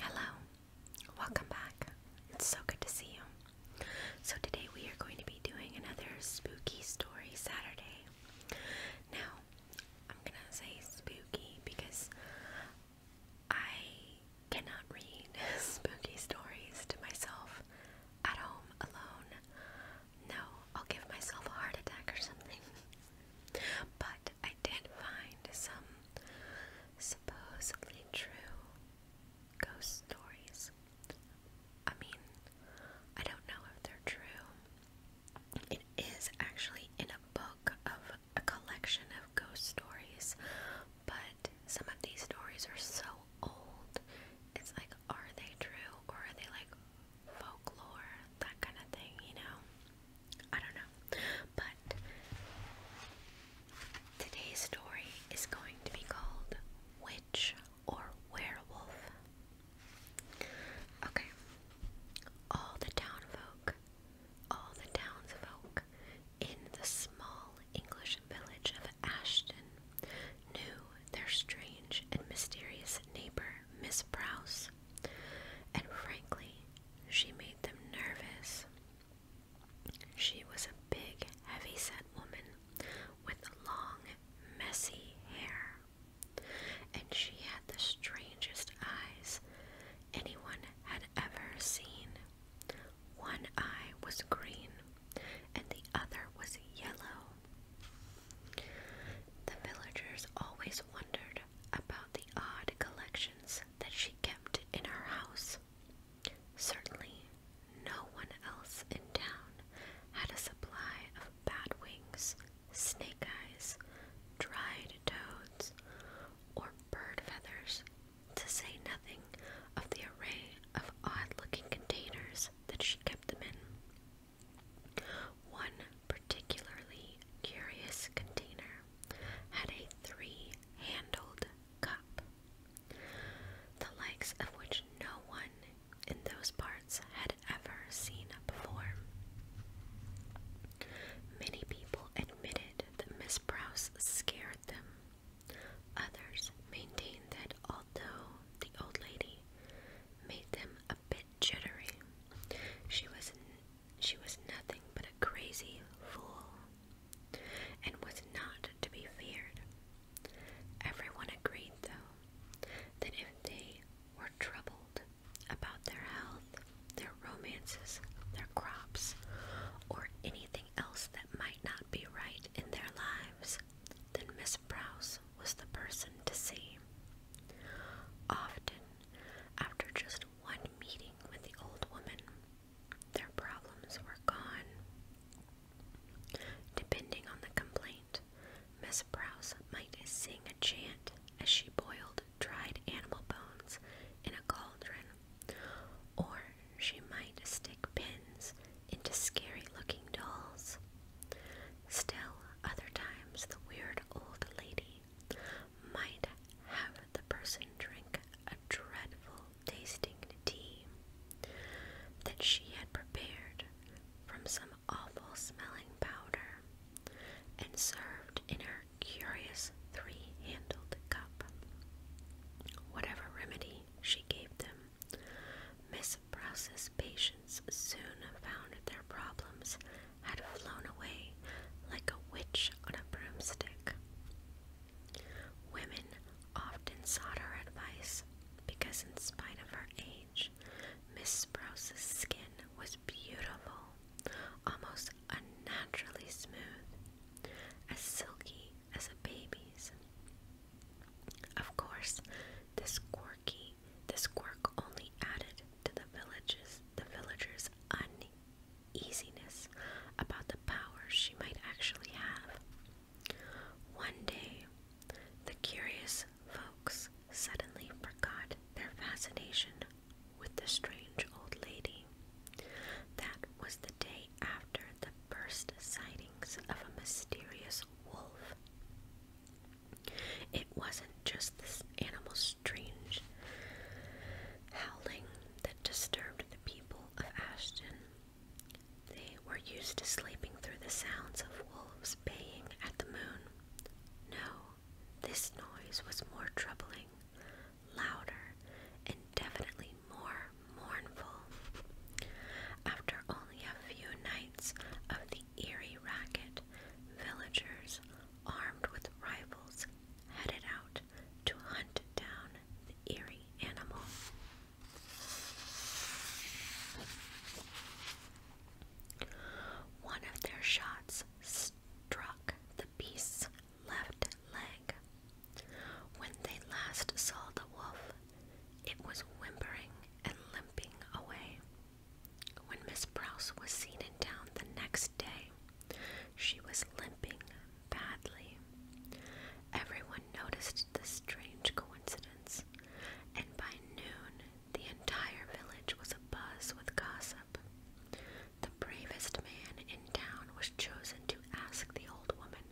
Hello, welcome back. It's so good to see you. So, today we are going to be doing another spooky story Saturday. Now, I'm gonna say spooky because I cannot read spooky stories to myself at home alone. No, I'll give myself a heart attack or something. But I did find some supposedly true ghost stories. I mean, I don't know if they're true. It is actually in a book of a collection of ghost stories, but some of these stories are so old. It's like, are they true or are they like folklore, that kind of thing, you know? I don't know. But today's story is going to be called Witch or Werewolf. Okay. All the townfolk, all the townsfolk in the small English village of Ashton knew their strange and mysterious neighbor, Miss Prouse, and frankly, she made them nervous. She was a big, heavy set woman with long, messy hair. And she had the strangest eyes anyone had ever seen. One eye was green and the other was yellow. The villagers always wondered about the odd collections that she kept in her house. Certainly, no one else in town had a supply of bat wings, snake eyes, dried toads, or bird feathers, to say nothing of the array of odd looking containers that she kept them in. One particularly curious container had a three handled cup, the likes of which no one in those parts had ever seen before. Many people admitted that Miss Brouse scared them. Others maintained that although the old lady made them a bit jittery, she was she was nothing but a crazy fool and was not to be feared. Everyone agreed, though, that if they were troubled about their health, their romances, their crops, or anything else that might not be right in their lives, then Miss Prouse was the person to see. Often, after just one meeting with the old woman, their problems were gone. Depending on the complaint, Miss Browse might sing a chant as she boiled dried animal bones in a cauldron, or she might stick pins into scary looking dolls. Still, other times the weird old lady might have the person drink a dreadful tasting tea that she had prepared from some awful smelling powder and served in her curious three handled cup. Whatever remedy she gave them, Miss Prouse's patients soon found their problems had flown away like a witch on a broomstick. Women often sought her advice because, in spite of her age, Miss Sprouse's skin was beautiful, almost unnaturally smooth, as silky as a baby's. Of course, this quirky, this quirk only added to the villages, the villagers' easiness about the powers she might actually have. One day, the curious folks suddenly forgot their fascination with the strange old lady. That was the day after the first sightings of a mysterious wolf. It wasn't just this animal's strange howling that disturbed the people of Ashton. They were used to sleeping through the sounds of wolves baying at the moon. No, this noise was more troubling, louder, and definitely more mournful. After only a few nights of the eerie racket, villagers, armed with rifles headed out to hunt down the eerie animal. One of their shots struck the beast's left leg. When they last saw the wolf, it was whimpering and limping away. When Miss Prouse was seen in town the next day, she was limping badly. Everyone noticed the strange coincidence, and by noon the entire village was abuzz with gossip. The bravest man in town was chosen to ask the old woman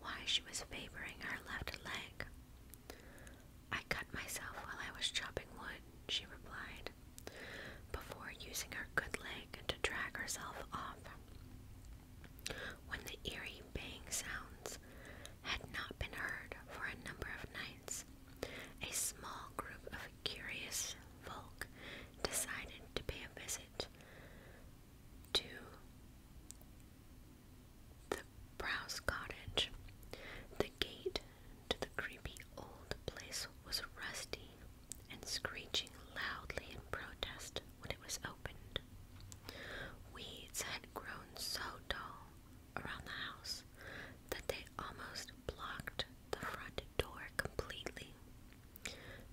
why she was favoring her left leg. I cut myself while I was chopping wood, she replied before using her good leg to drag herself off. When the eerie bang sounds had not been heard for a number of nights, a small group of curious folk decided to pay a visit to the Browse Cottage. The gate the creepy old place was rusty and screeching loudly in protest when it was opened. Weeds had grown so tall around the house that they almost blocked the front door completely.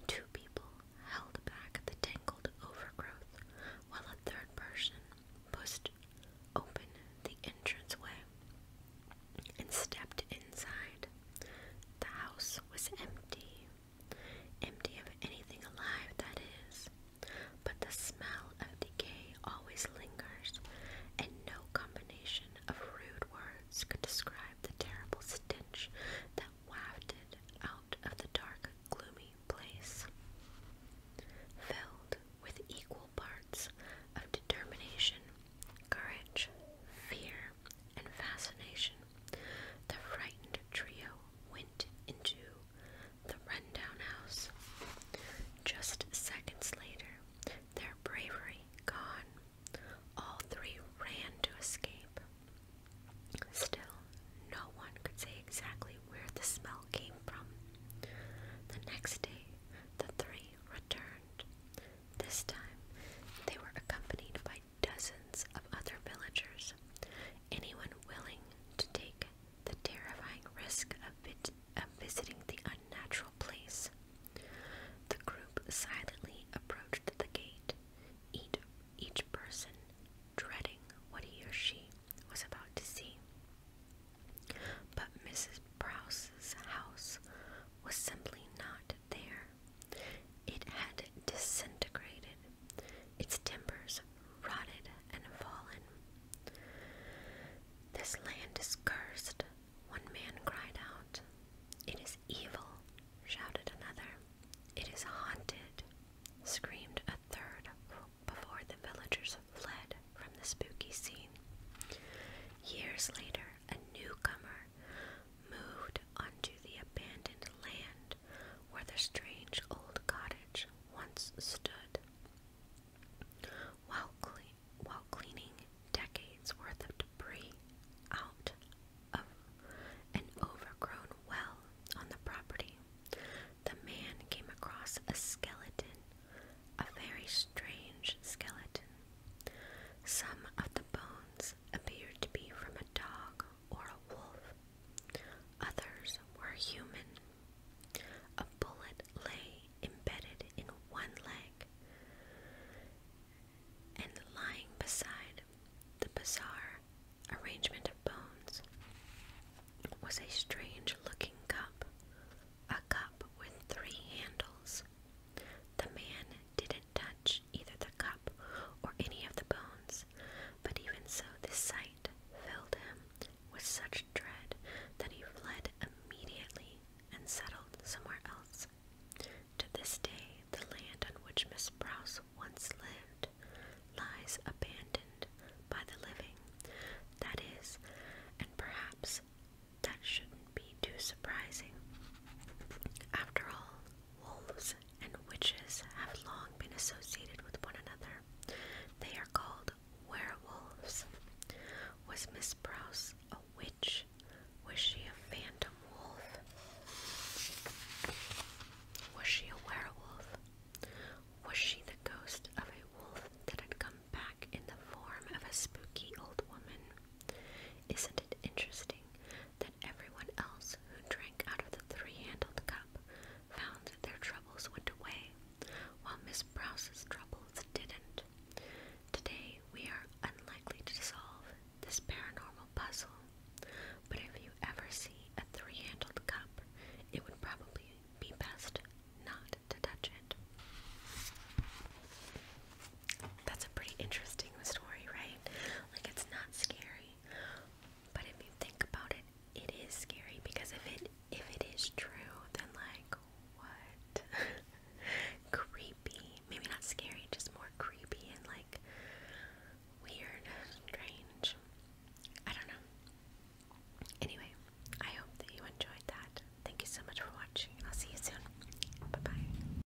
Two people held back the tangled overgrowth while a third person pushed open the entranceway and stepped inside. The house was empty, empty of anything alive, that is, but the smell of decay always lingers, and no combination of rude words could describe the terrible stench that wafted out of the dark, gloomy place. Filled with equal parts of determination, courage, fear, and fascination, the frightened trio went into the rundown house. Just seconds later, their bravery gone, all three ran to escape. Still, no one could say exactly where the smell came from. The next day, the three returned. This time, they were accompanied by dozens of other villagers. Anyone willing to take the terrifying risk of, visiting the unnatural place. The group silently approached the gate, each, person dreading what he or she was about to see. But Mrs. Prouse's house was simply not there. It had disintegrated, its timbers rotted and fallen. This land is cursed, one man cried out. It is evil, shouted another. It is haunted, screamed a third before the villagers fled from the spooky scene. Years later, a newcomer moved onto the abandoned land where the strange old cottage once stood. While, cleaning decades worth of debris out of an overgrown well on the property, the man came across a skeleton, a very strange skeleton. Some of the bones Tracks appeared to be from a dog or a wolf. Others were human. A bullet lay embedded in one leg, and lying beside the bizarre arrangement of bones was a strange looking cup, a cup with three handles. The man didn't touch either the cup or any of the bones, but even so, this sight filled him with such dread that he fled immediately and settled somewhere else. To this day, the land on which Miss Prouse once lived lies abandoned by the living, that is, and perhaps that should be too surprising. After all, wolves and witches have long been associated with one another. They are called werewolves. Was Miss Prouse a witch? Was she a phantom wolf? Was she a werewolf? Was she the ghost of a wolf that had come back in the form of a spooky old woman? Isn't it interesting that everyone else who drank out of the three handled cup found that their troubles went away, while Miss Browse's troubles didn't. Today we are unlikely to solve this paranormal puzzle, but if you ever see a three handled cup, it would probably be best not to touch it. That's a pretty interesting story, right? Like, it's not scary. But if you think about it, it is scary because if it if it is true, then like what? creepy. Maybe not scary, just more creepy and like weird, strange. I don't know. Anyway, I hope that you enjoyed that. Thank you so much for watching. I'll see you soon. Bye bye.